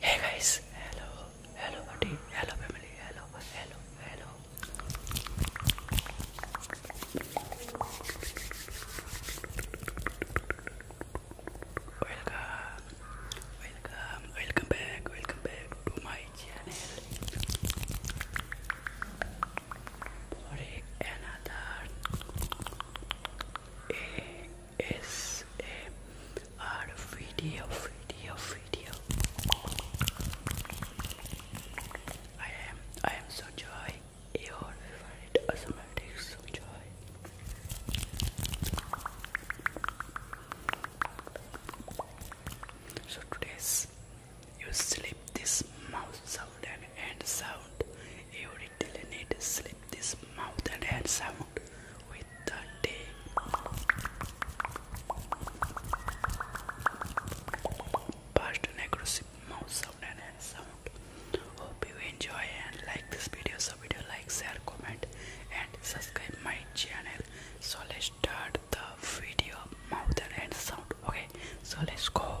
Hey guys, hello, hello buddy, hello family, hello, hello, hello. Welcome, welcome, welcome back, welcome back to my channel. Sorry, another ASMR video, video, video. I am, I am so joy. Your favorite asthmatic so joy. So today's you slip this mouth sound and hand sound. You really need to slip this mouth and hand sound with the day. Past and aggressive mouth sound and hand sound. Hope you enjoy and like this video video like share comment and subscribe my channel so let's start the video mouth and sound okay so let's go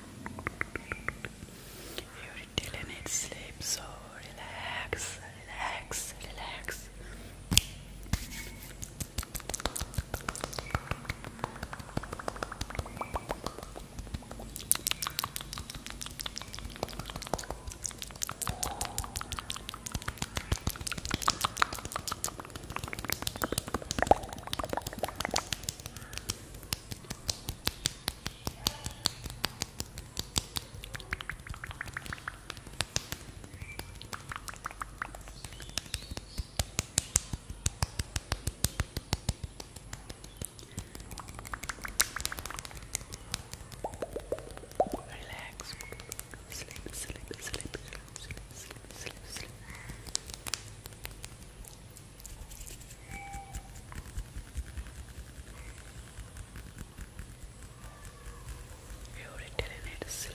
You really need sleep, so relax, relax, relax. Relax. Sleep, sleep, sleep, sleep, sleep, sleep, sleep. You really need to sleep.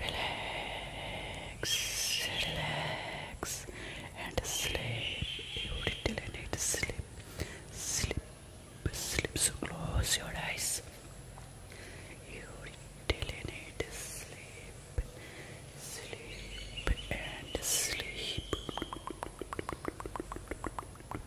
Relax, relax, and sleep. You I need sleep, sleep, sleep. So close your eyes. You need to sleep, sleep, and sleep.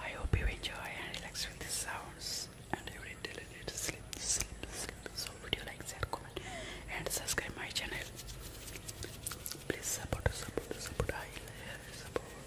I hope you enjoy and relax with the sounds and you will intelligent sleep, sleep, sleep. So video like that, comment and subscribe my channel. Please support, support, support. I love support.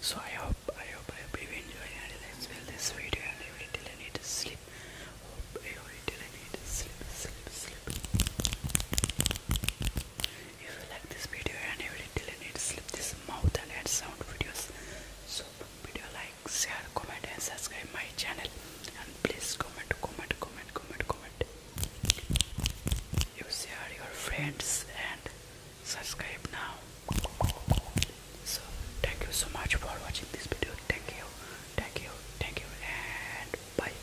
So I hope I hope I hope you enjoyed and let's well this video and I wait till I need to sleep. Hope I wait till I need to sleep sleep sleep if you like this video and you really did need to slip this mouth and add sound videos, so video like, share, comment and subscribe my channel and please comment, comment, comment, comment, comment. You share your friends and subscribe now. So thank you so much for watching this video. Thank you, thank you, thank you and bye.